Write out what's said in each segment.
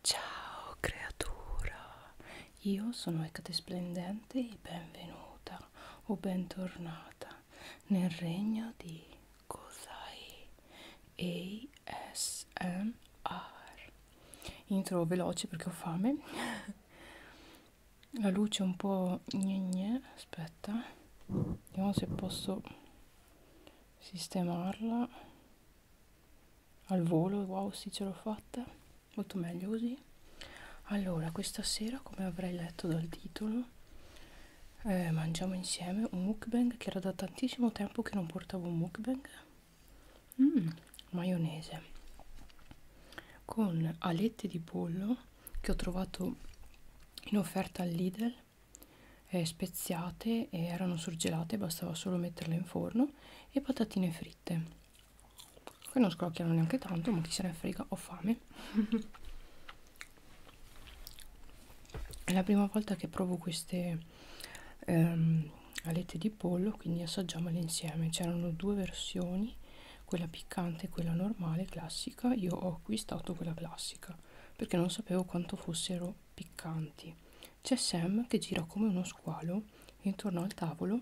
Ciao creatura, io sono Ecate Splendente e benvenuta o bentornata nel regno di Kosai ASMR. Intro veloce perché ho fame. La luce è un po' gne aspetta, vediamo se posso sistemarla al volo wow sì ce l'ho fatta molto meglio così allora questa sera come avrei letto dal titolo eh, mangiamo insieme un mukbang che era da tantissimo tempo che non portavo un mukbang mm, maionese con alette di pollo che ho trovato in offerta al Lidl eh, speziate e erano surgelate, bastava solo metterle in forno e patatine fritte che non scrocchiano neanche tanto, ma chi se ne frega, ho fame. È la prima volta che provo queste ehm, alette di pollo, quindi assaggiamole insieme. C'erano due versioni, quella piccante e quella normale, classica. Io ho acquistato quella classica perché non sapevo quanto fossero piccanti. C'è Sam che gira come uno squalo intorno al tavolo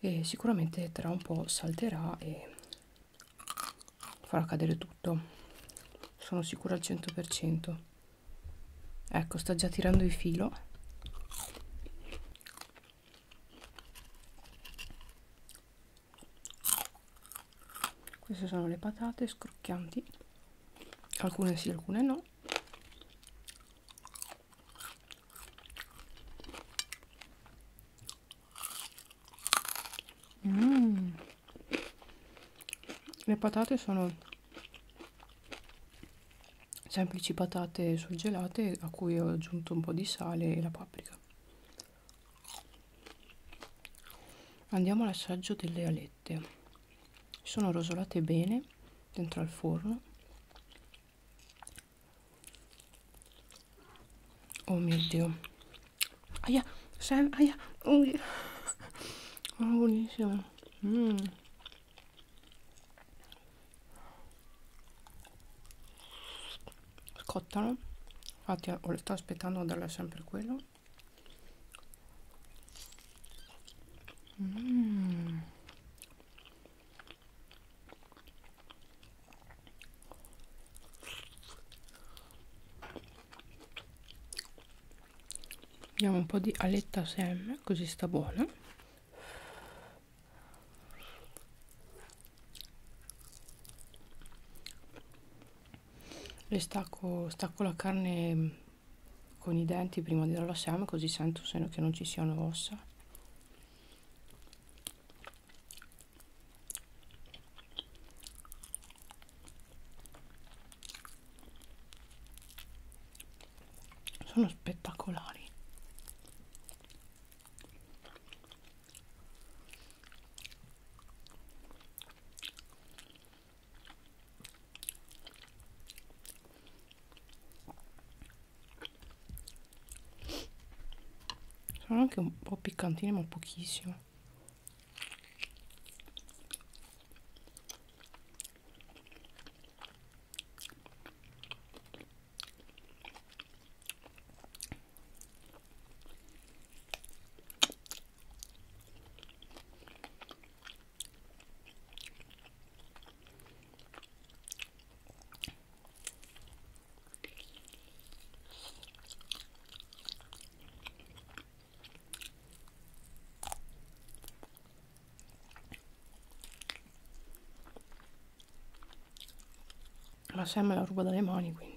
e sicuramente tra un po' salterà e farà cadere tutto. Sono sicura al 100%. Ecco, sta già tirando il filo. Queste sono le patate scrocchianti alcune sì alcune no mm. le patate sono semplici patate surgelate a cui ho aggiunto un po' di sale e la paprika andiamo all'assaggio delle alette polpette sono rosolate bene dentro al forno oh mio dio aia Sam, aia oh, oh buonissimo mm. scottano infatti sto aspettando a darle sempre quello Mm. Diamo un po' di aletta sem, così sta buona e stacco, stacco la carne con i denti prima di darla seme così sento se che non ci siano ossa sono spettacolari sono anche un po' piccantine ma pochissimo la sciamma la rubo dalle mani quindi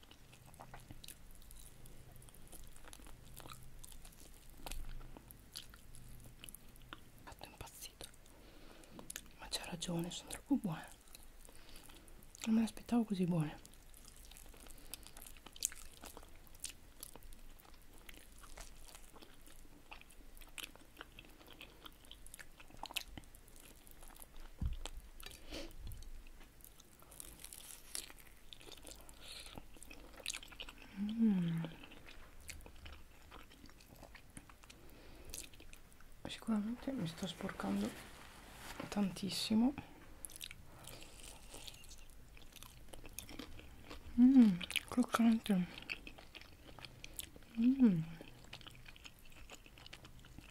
fatto impazzito ma c'ha ragione sono troppo buone non me le aspettavo così buone Mm. Sicuramente mi sto sporcando tantissimo. Mmm, croccante. Mmm.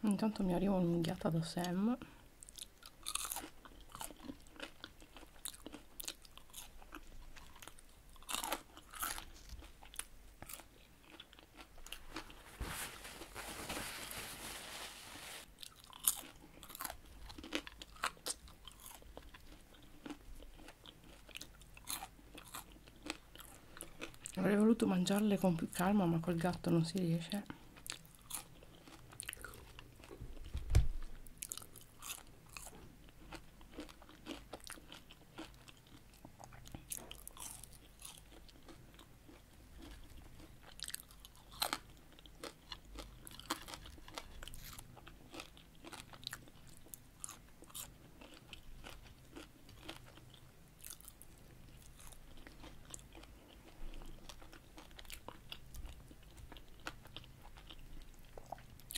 Intanto mi arriva un'unghiata da Sam avrei voluto mangiarle con più calma ma col gatto non si riesce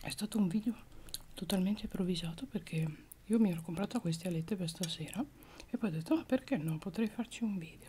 è stato un video totalmente improvvisato perché io mi ero comprata queste alette per stasera e poi ho detto: Ma ah, perché no? Potrei farci un video.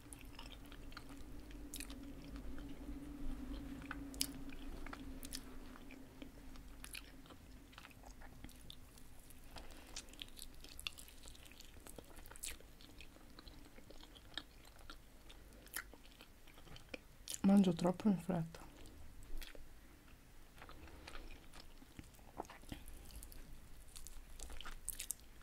Mangio troppo in fretta.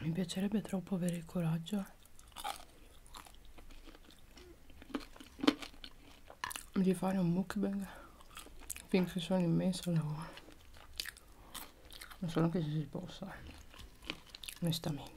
mi piacerebbe troppo avere il coraggio di fare un mukbang finché sono immenso al lavoro non so neanche se si possa onestamente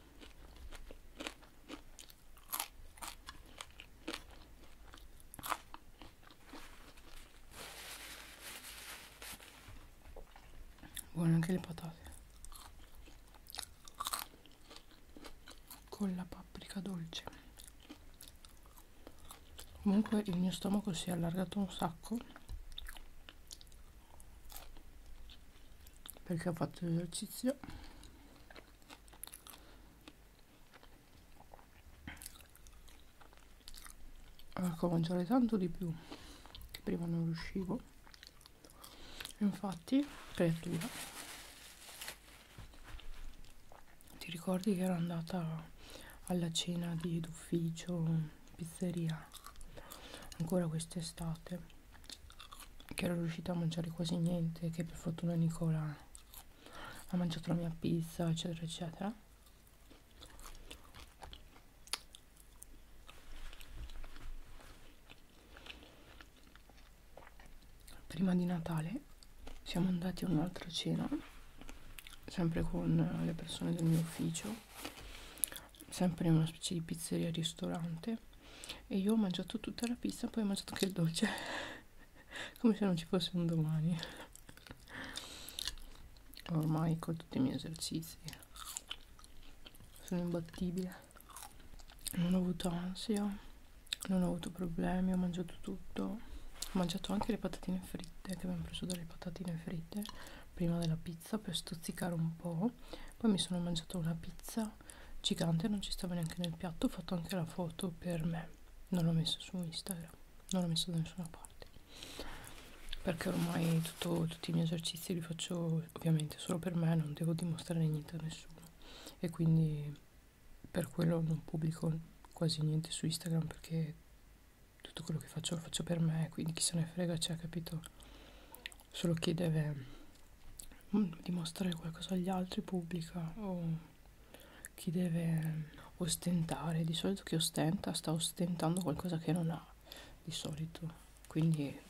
buone anche le patate con la paprika dolce comunque il mio stomaco si è allargato un sacco perché ho fatto l'esercizio ecco a mangiare tanto di più che prima non riuscivo infatti creatura ti ricordi che ero andata alla cena d'ufficio pizzeria ancora quest'estate che ero riuscita a mangiare quasi niente che per fortuna Nicola ha mangiato la mia pizza eccetera eccetera prima di Natale siamo andati a un'altra cena sempre con le persone del mio ufficio sempre in una specie di pizzeria ristorante e io ho mangiato tutta la pizza poi ho mangiato anche il dolce come se non ci fosse un domani ormai con tutti i miei esercizi sono imbattibile non ho avuto ansia non ho avuto problemi ho mangiato tutto ho mangiato anche le patatine fritte che abbiamo preso dalle patatine fritte prima della pizza per stuzzicare un po' poi mi sono mangiato una pizza gigante non ci stava neanche nel piatto ho fatto anche la foto per me non l'ho messo su Instagram non l'ho messo da nessuna parte perché ormai tutto, tutti i miei esercizi li faccio ovviamente solo per me non devo dimostrare niente a nessuno e quindi per quello non pubblico quasi niente su Instagram perché tutto quello che faccio lo faccio per me quindi chi se ne frega c'è cioè, capito solo chi deve mm, dimostrare qualcosa agli altri pubblica o chi deve ostentare di solito chi ostenta sta ostentando qualcosa che non ha di solito quindi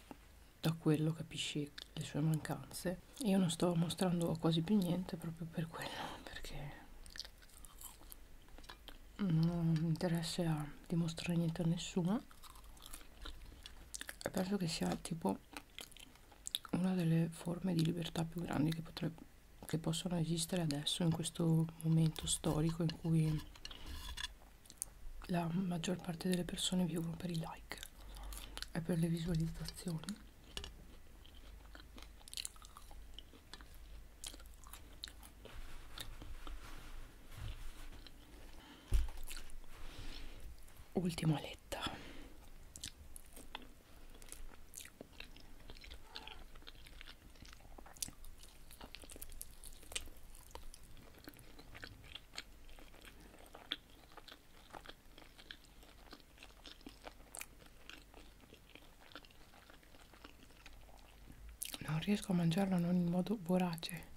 da quello capisci le sue mancanze io non sto mostrando quasi più niente proprio per quello perché non mi interessa dimostrare niente a nessuno penso che sia tipo una delle forme di libertà più grandi che, potrebbe, che possono esistere adesso in questo momento storico in cui la maggior parte delle persone vivono per i like e per le visualizzazioni ultima aletta non riesco a mangiarla non in modo vorace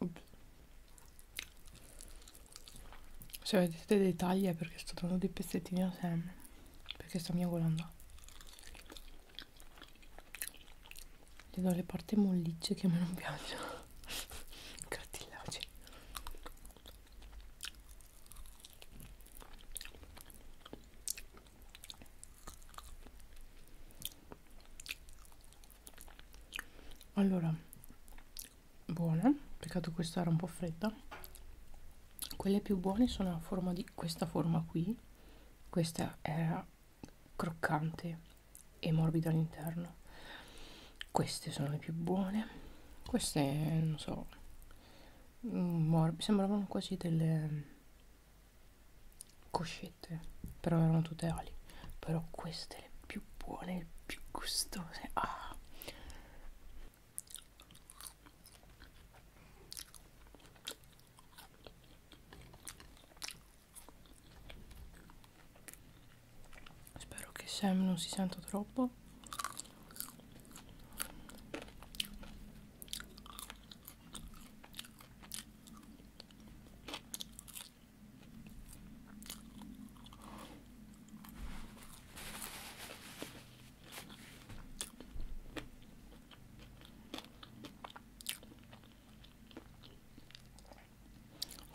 Oops. Se vedete dei tagli è perché sto dando dei pezzettini a Sam. Perché sta miagolando. Gli do le parti mollicce che a me non piacciono. Grattillaggi. allora buone peccato questa era un po' fredda quelle più buone sono a forma di questa forma qui questa era croccante e morbida all'interno queste sono le più buone queste non so mm, sembravano quasi delle coscette però erano tutte ali però queste le più buone le più gustose ah. spero che Sam non si senta troppo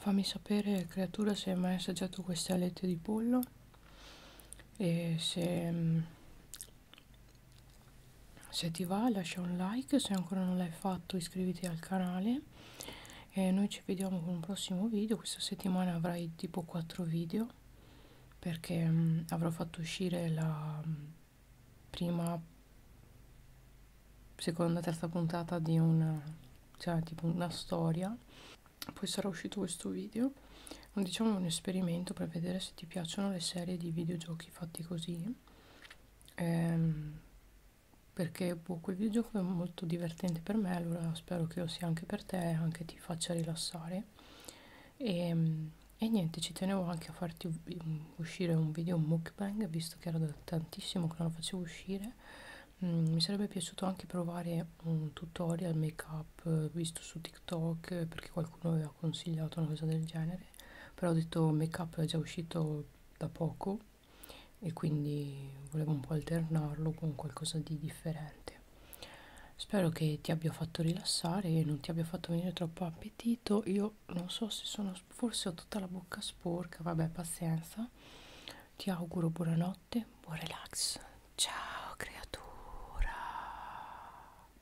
Fammi sapere creatura se hai mai assaggiato queste alette di pollo e se mm, se ti va lascia un like se ancora non l'hai fatto iscriviti al canale e noi ci vediamo con un prossimo video questa settimana avrai tipo 4 video perché mh, mm, avrò fatto uscire la mh, mm, prima seconda terza puntata di una cioè tipo una storia poi sarà uscito questo video diciamo un esperimento per vedere se ti piacciono le serie di videogiochi fatti così ehm, perché boh, quel videogioco è molto divertente per me allora spero che lo sia anche per te anche ti faccia rilassare e, ehm, e niente ci tenevo anche a farti mm, uscire un video mukbang visto che era da tantissimo che non lo facevo uscire mm, mi sarebbe piaciuto anche provare un tutorial make up eh, visto su tiktok perché qualcuno aveva consigliato una cosa del genere genere però ho detto make up è già uscito da poco e quindi volevo un po' alternarlo con qualcosa di differente spero che ti abbia fatto rilassare e non ti abbia fatto venire troppo appetito io non so se sono forse ho tutta la bocca sporca vabbè pazienza ti auguro buonanotte buon relax ciao creatura